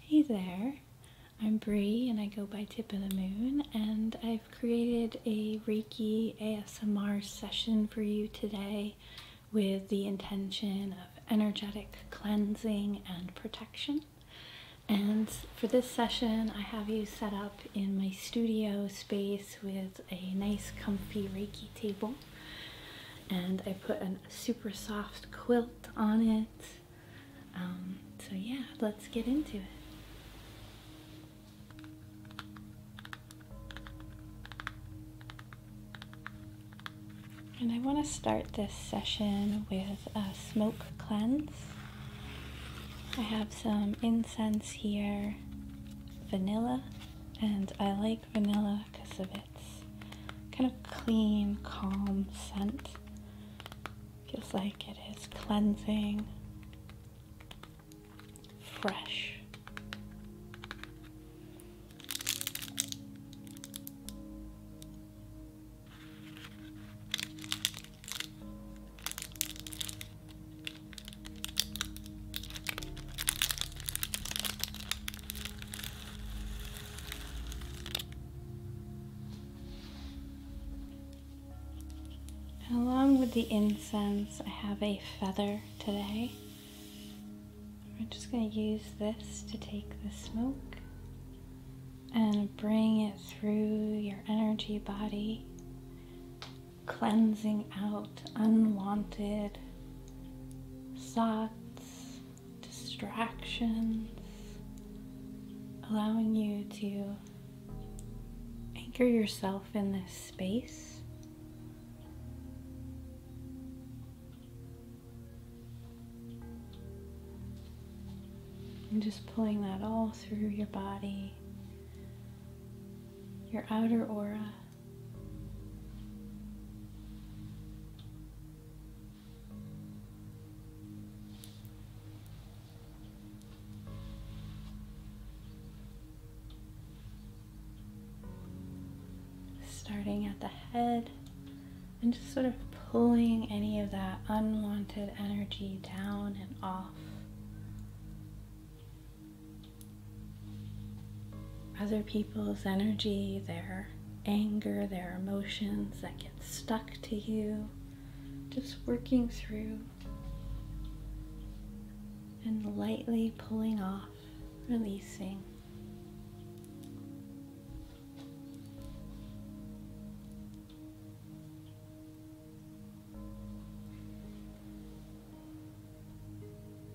Hey there, I'm Bree and I go by Tip of the Moon and I've created a Reiki ASMR session for you today with the intention of energetic cleansing and protection. And for this session, I have you set up in my studio space with a nice comfy Reiki table and I put a super soft quilt on it. Um, so, yeah, let's get into it. And I want to start this session with a smoke cleanse. I have some incense here, vanilla, and I like vanilla because of it its kind of clean, calm scent. Feels like it is cleansing, fresh. Along with the incense, I have a feather today. We're just going to use this to take the smoke and bring it through your energy body, cleansing out unwanted thoughts, distractions, allowing you to anchor yourself in this space. And just pulling that all through your body, your outer aura. Starting at the head and just sort of pulling any of that unwanted energy down and off other people's energy, their anger, their emotions that get stuck to you, just working through and lightly pulling off, releasing.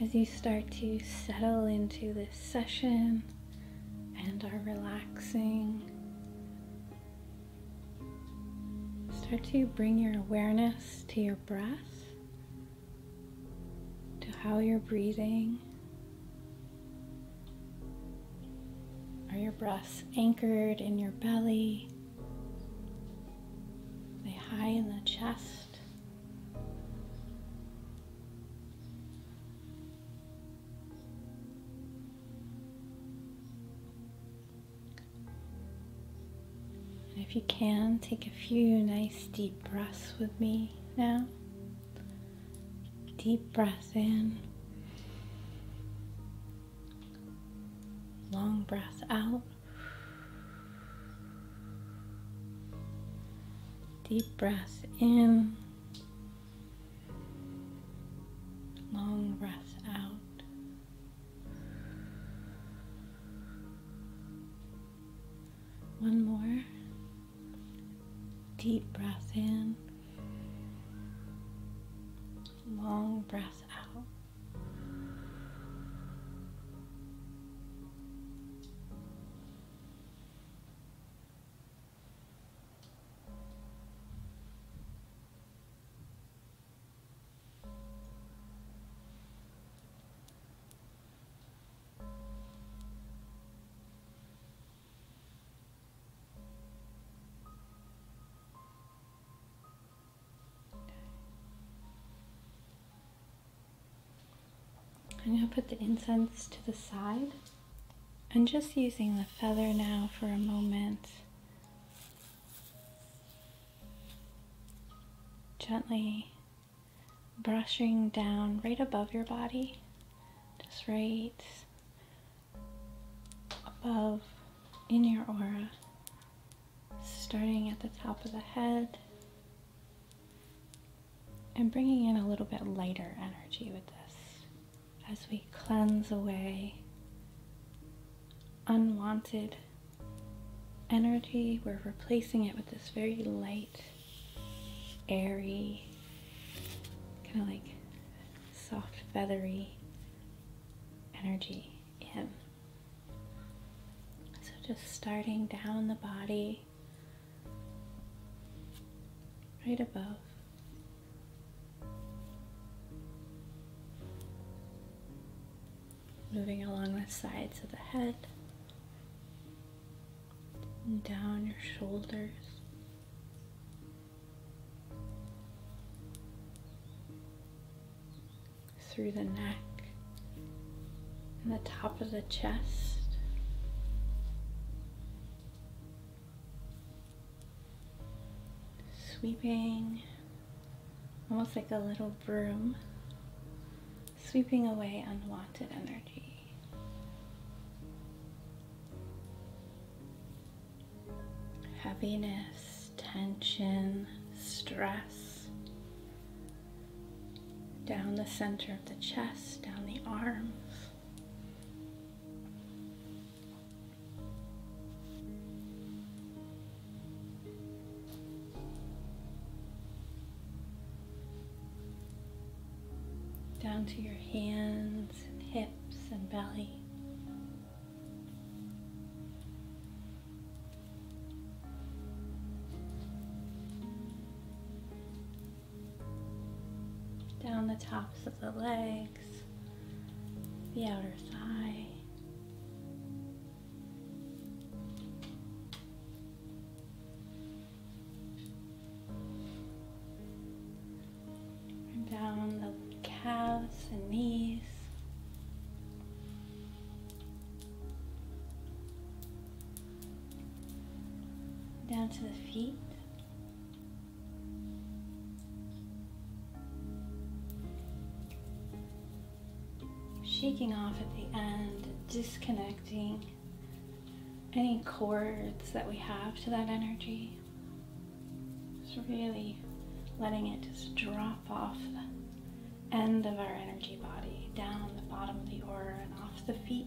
As you start to settle into this session and are relaxing, Start to bring your awareness to your breath, to how you're breathing. Are your breaths anchored in your belly? they high in the chest? if you can, take a few nice deep breaths with me now. Deep breath in, long breath out. Deep breath in, long breath out. One more deep breath in, long breath out. I'm going to put the incense to the side. And just using the feather now for a moment. Gently brushing down right above your body, just right above in your aura, starting at the top of the head and bringing in a little bit lighter energy with this as we cleanse away unwanted energy. We're replacing it with this very light, airy, kind of like soft, feathery energy in. So just starting down the body, right above Moving along the sides of the head down your shoulders. Through the neck and the top of the chest sweeping, almost like a little broom, sweeping away unwanted energy. Heaviness, tension, stress, down the center of the chest, down the arms down to your hands and hips and belly. Down the tops of the legs the outer thigh. And down the calves and knees. Down to the feet, Shaking off at the end, disconnecting any cords that we have to that energy. Just really letting it just drop off the end of our energy body, down the bottom of the aura and off the feet.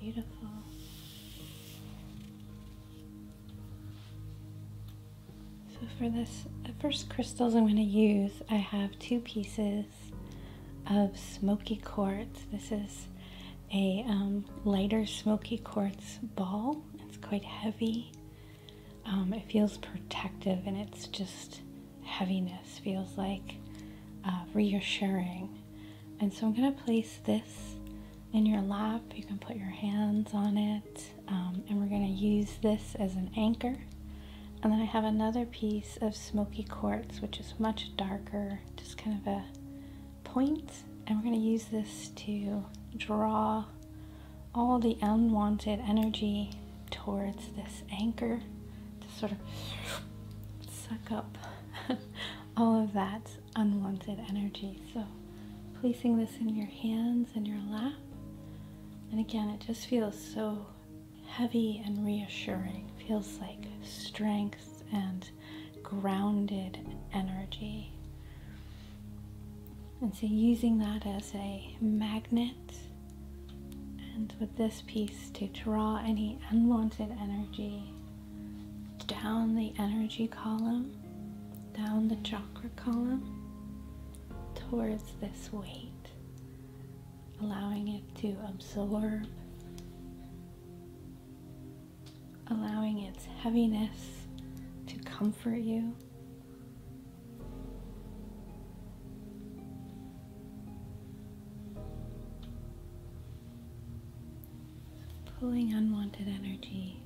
Beautiful. So for this first crystals I'm going to use, I have two pieces of smoky quartz. This is a um, lighter smoky quartz ball. It's quite heavy um, it feels protective and it's just heaviness feels like uh, reassuring. And so I'm going to place this in your lap. You can put your hands on it. Um, and we're going to use this as an anchor. And then I have another piece of smoky quartz, which is much darker, just kind of a And we're going to use this to draw all the unwanted energy towards this anchor to sort of suck up all of that unwanted energy. So, placing this in your hands and your lap. And again, it just feels so heavy and reassuring. feels like strength and grounded energy. And so using that as a magnet and with this piece to draw any unwanted energy down the energy column, down the chakra column towards this weight, allowing it to absorb allowing its heaviness to comfort you. Pulling unwanted energy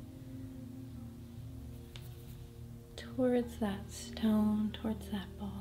towards that stone, towards that ball.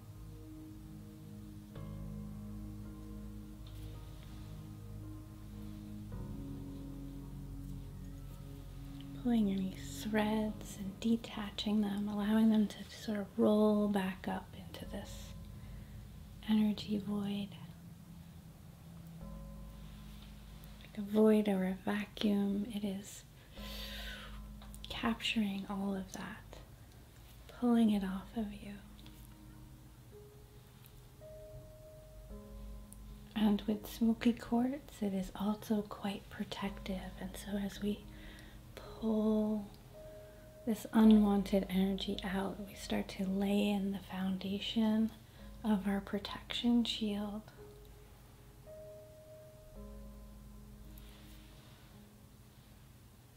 Pulling any threads and detaching them, allowing them to sort of roll back up into this energy void. a void or a vacuum, it is capturing all of that pulling it off of you. And with smoky quartz, it is also quite protective. And so as we pull this unwanted energy out, we start to lay in the foundation of our protection shield.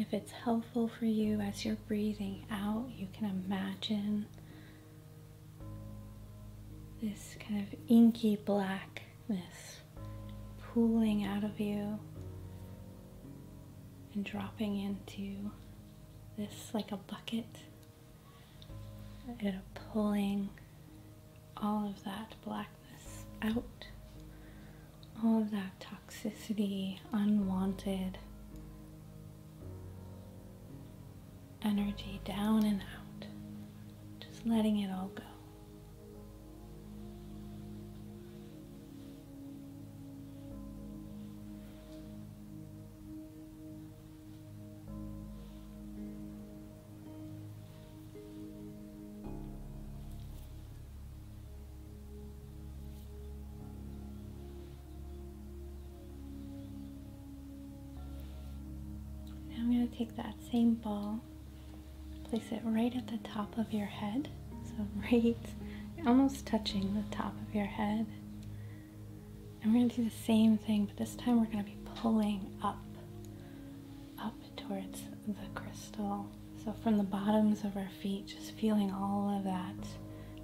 if it's helpful for you as you're breathing out, you can imagine this kind of inky blackness pooling out of you and dropping into this like a bucket. it pulling all of that blackness out, all of that toxicity, unwanted energy down and out, just letting it all go. Now I'm going to take that same ball, place it right at the top of your head. So, right almost touching the top of your head. And we're going to do the same thing, but this time we're going to be pulling up, up towards the crystal. So, from the bottoms of our feet, just feeling all of that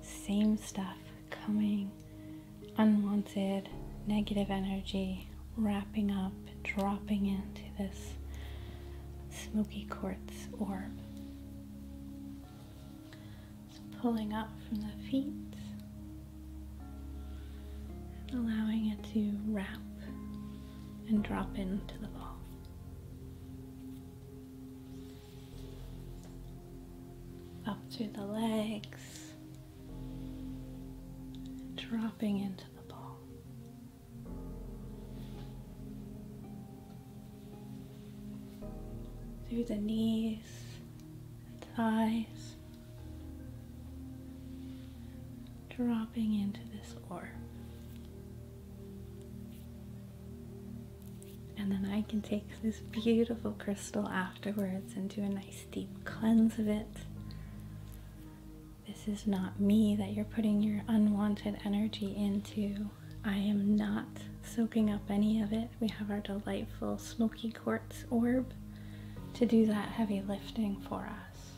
same stuff coming, unwanted, negative energy wrapping up, dropping into this smoky quartz orb. pulling up from the feet, allowing it to wrap and drop into the ball up to the legs, dropping into the ball. Through the knees and thighs, dropping into this orb. And then I can take this beautiful crystal afterwards and do a nice deep cleanse of it. This is not me that you're putting your unwanted energy into. I am not soaking up any of it. We have our delightful smoky quartz orb to do that heavy lifting for us.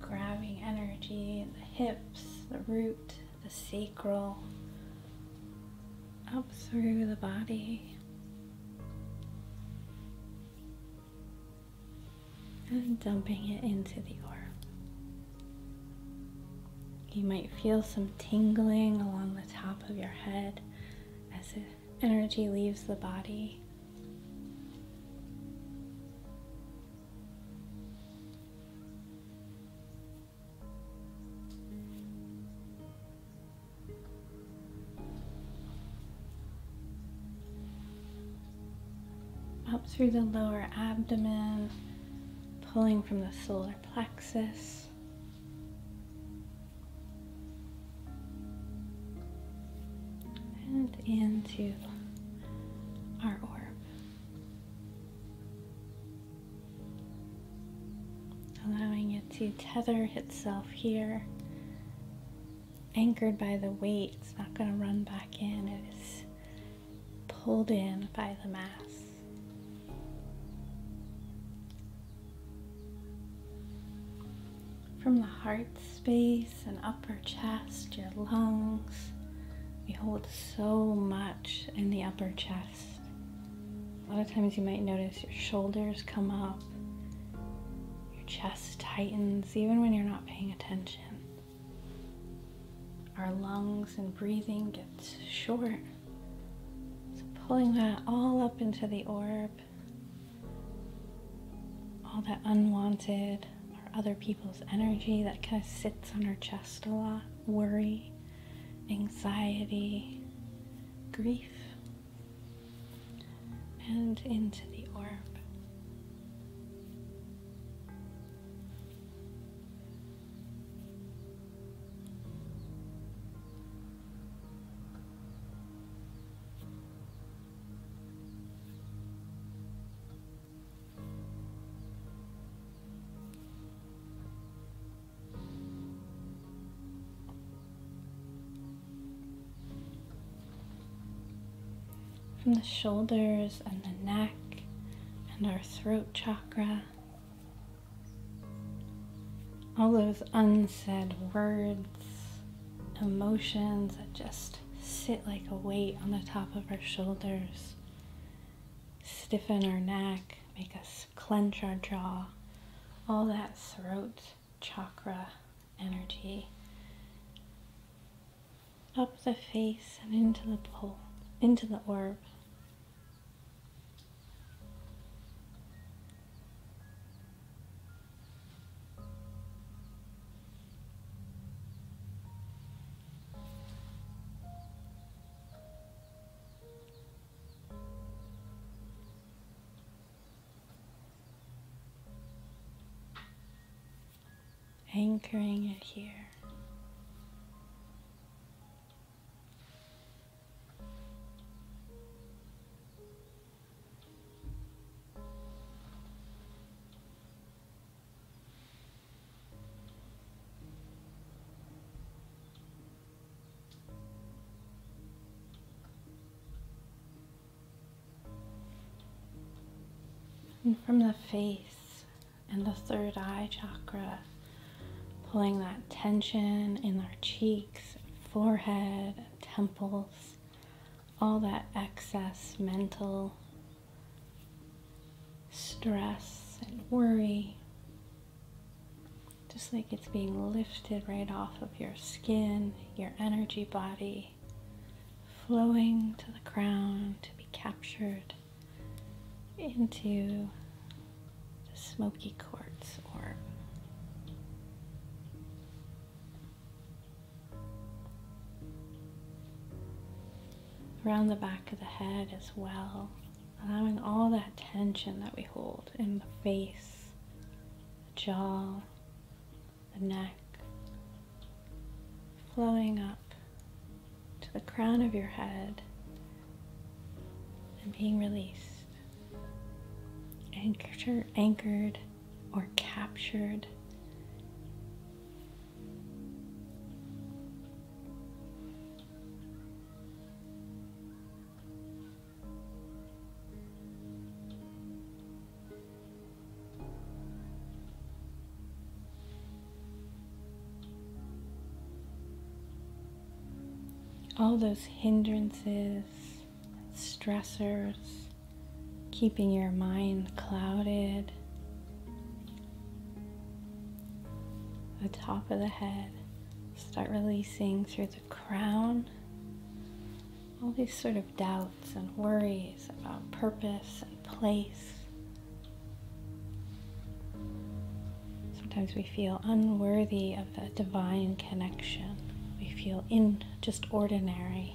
Grabbing energy in the hips, the root, the sacral, up through the body. And dumping it into the orb. You might feel some tingling along the top of your head as the energy leaves the body. Up through the lower abdomen, pulling from the solar plexus. And into our orb allowing it to tether itself here, anchored by the weight. It's not going to run back in, it is pulled in by the mass. From the heart space and upper chest, your lungs. We hold so much in the upper chest. A lot of times you might notice your shoulders come up, your chest tightens, even when you're not paying attention. Our lungs and breathing gets short. So pulling that all up into the orb, all that unwanted or other people's energy that kind of sits on our chest a lot, worry, anxiety, grief, and into the orb. From the shoulders and the neck and our throat chakra, all those unsaid words, emotions that just sit like a weight on the top of our shoulders stiffen our neck, make us clench our jaw, all that throat chakra energy up the face and into the pole, into the orb anchoring it here. And from the face and the third eye chakra, pulling that tension in our cheeks, forehead, temples, all that excess mental stress and worry, just like it's being lifted right off of your skin, your energy body, flowing to the ground to be captured into the smoky quartz orb around the back of the head as well, allowing all that tension that we hold in the face, the jaw, the neck, flowing up to the crown of your head and being released. Anchor, anchored or captured all those hindrances, stressors, keeping your mind clouded, the top of the head. Start releasing through the crown all these sort of doubts and worries about purpose and place. Sometimes we feel unworthy of that divine connection. We feel in just ordinary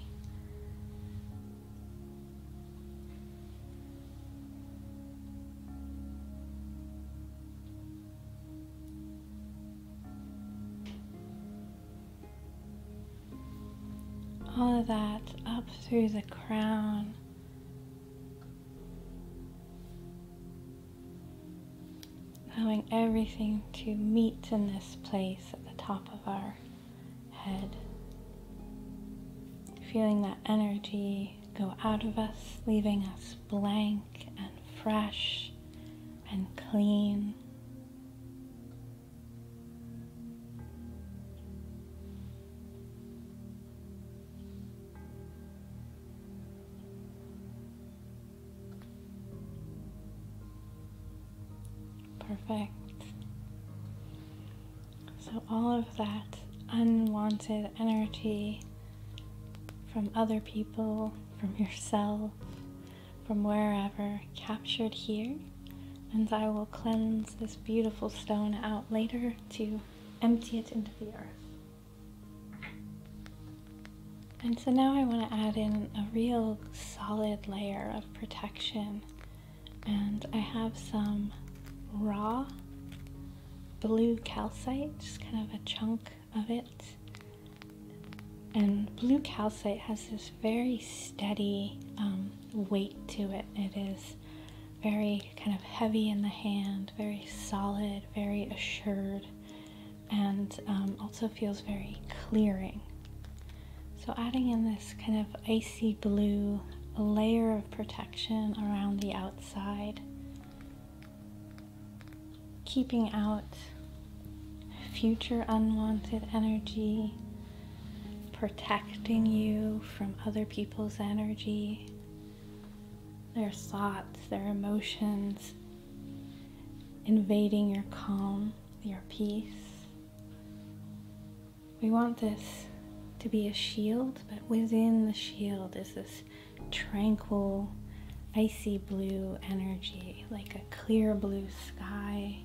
all of that up through the crown. Allowing everything to meet in this place at the top of our head. Feeling that energy go out of us, leaving us blank and fresh and clean. Perfect. So, all of that unwanted energy from other people, from yourself, from wherever, captured here. And I will cleanse this beautiful stone out later to empty it into the earth. And so now I want to add in a real solid layer of protection and I have some raw blue calcite, just kind of a chunk of it. And blue calcite has this very steady um, weight to it. It is very kind of heavy in the hand, very solid, very assured, and um, also feels very clearing. So adding in this kind of icy blue layer protection around the outside, keeping out future unwanted energy, protecting you from other people's energy, their thoughts, their emotions, invading your calm, your peace. We want this to be a shield, but within the shield is this tranquil, icy blue energy, like a clear blue sky,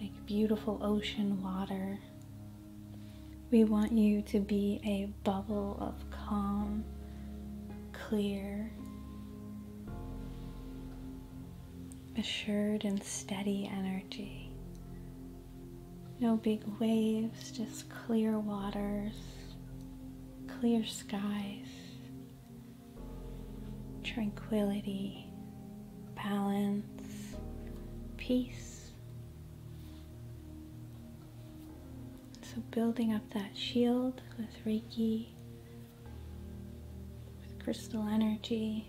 like beautiful ocean water. We want you to be a bubble of calm, clear, assured, and steady energy no big waves, just clear waters, clear skies, tranquility, balance, peace. So, building up that shield with Reiki, with crystal energy.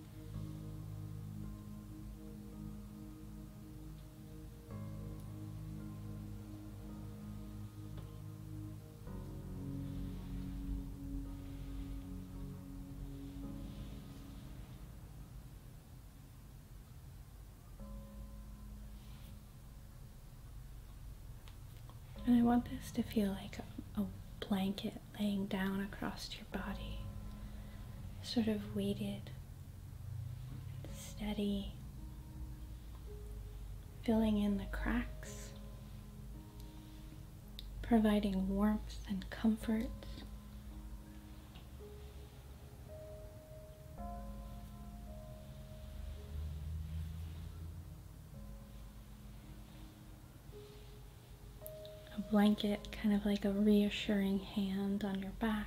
And I want this to feel like a, blanket laying down across your body, sort of weighted, steady, filling in the cracks, providing warmth and comfort a blanket, kind of like a reassuring hand on your back.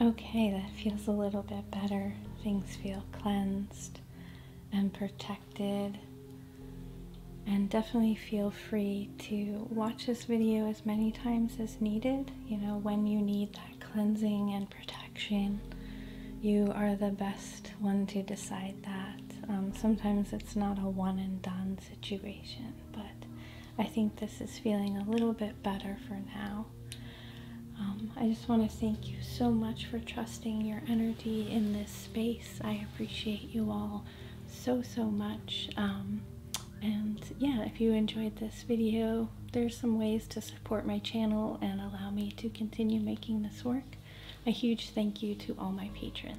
Okay, that feels a little bit better. Things feel cleansed and protected. And definitely feel free to watch this video as many times as needed. You know, when you need that cleansing and protection, you are the best one to decide that. Um, sometimes it's not a one and done situation, but I think this is feeling a little bit better for now. Um, I just want to thank you so much for trusting your energy in this space. I appreciate you all so, so much. Um, and yeah, if you enjoyed this video, there's some ways to support my channel and allow me to continue making this work. A huge thank you to all my patrons.